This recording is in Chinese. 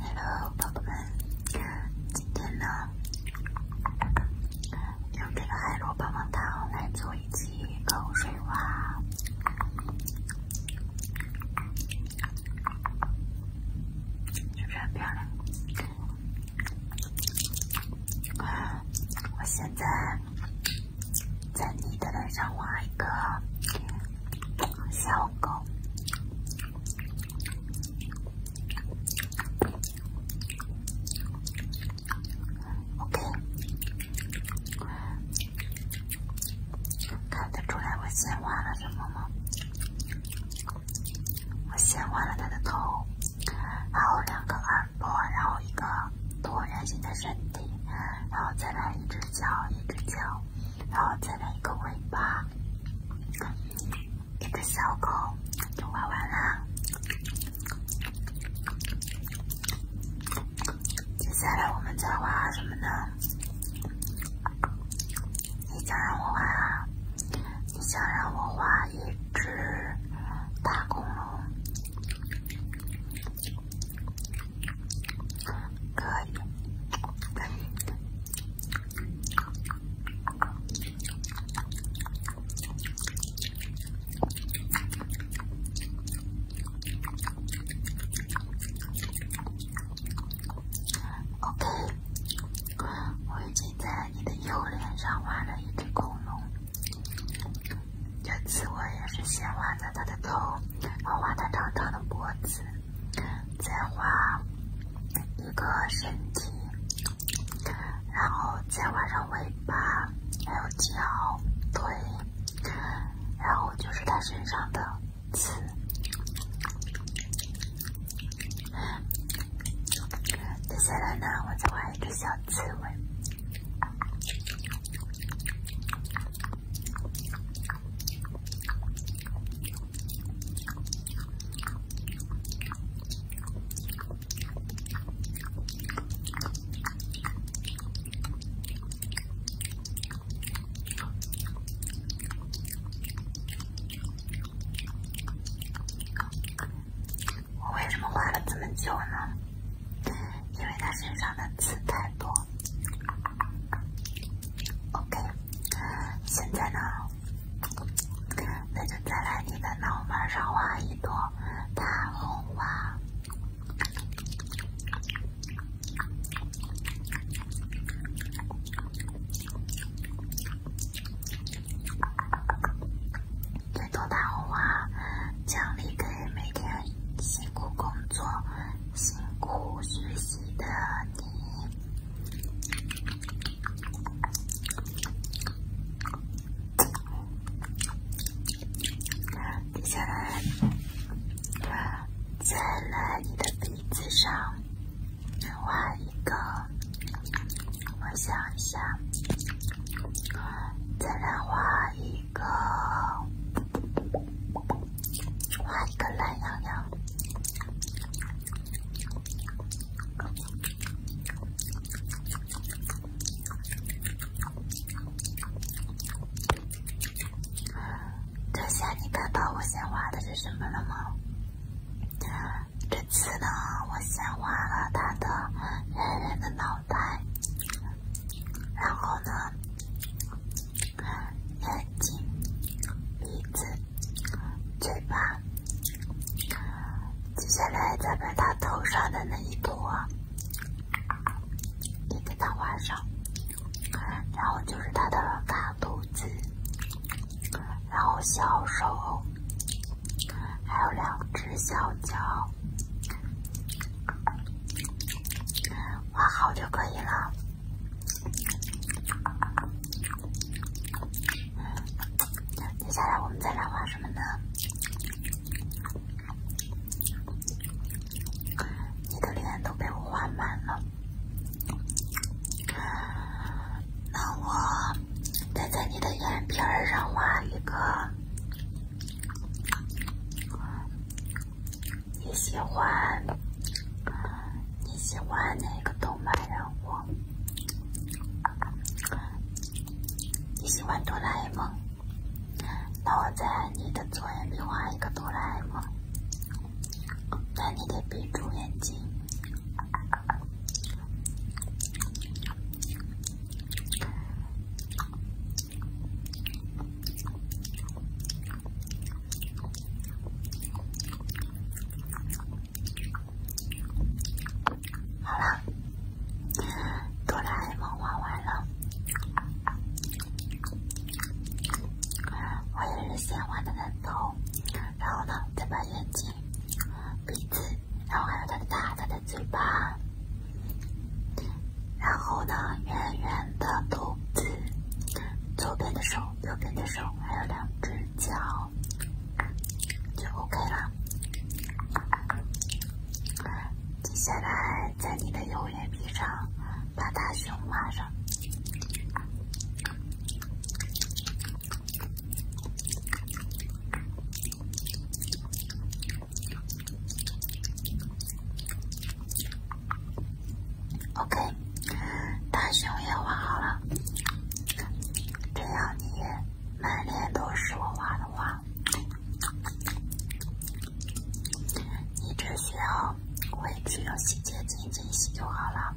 Hello，宝宝们，今天呢，用这个海螺棒棒糖来做一期口水画，是不是我现在在你的脸上画一个。小狗，OK，看得出来我先画了什么吗？我先画了它的头，还有两个耳朵，然后一个椭圆形的身体，然后再来一只脚，一只脚。然后再来一个尾巴，一个小狗就画完啦。接下来我们再画什么呢？你想让我画？啊？你想让我画一只大恐龙。可以。OK，我已经在你的右脸上画了一只恐龙。这次我也是先画的它的头。然后画它长长的脖子，再画一个身体，然后再画上尾巴，还有脚、腿，然后就是它身上的刺。接下来呢，我再画一个小刺猬。我为什么画了这么久呢？因为它身上的刺太多。OK，现在呢，那就再来你的脑门上画一朵大红花，这朵大红花奖励给每天。辛苦工作、辛苦学习的你，接下来，再来你的鼻子上画一个，我想一下，再来画一。一个，画一个懒羊羊。这下你看到我先画的是什么了吗？这次呢，我先画了他的圆圆的脑袋。然后呢，眼睛、鼻子、嘴巴，接下来再把它头上的那一坨也给它画上，然后就是它的大肚子，然后小手，还有两只小脚。画好就可以了。接下来我们再来画什么呢？你的脸都被我画满了，那我再在你的眼皮儿上画一个。你喜欢你喜欢哪个动漫人物？你喜欢哆啦 A 梦？那我在你的左眼皮画一个哆啦 A 梦，但你得闭住眼睛。好了，哆啦 A 梦画完了。我也是先画的的头，然后呢，再把眼睛、鼻子。然后还有它的大大的嘴巴，然后呢，圆圆的肚子，左边的手，右边的手，还有两只脚，就 OK 了。接下来在你的右眼皮上把大熊画上。OK，大熊也画好了，这样你满脸都是我画的画。你只需要回去用洗洁精清洗就好了。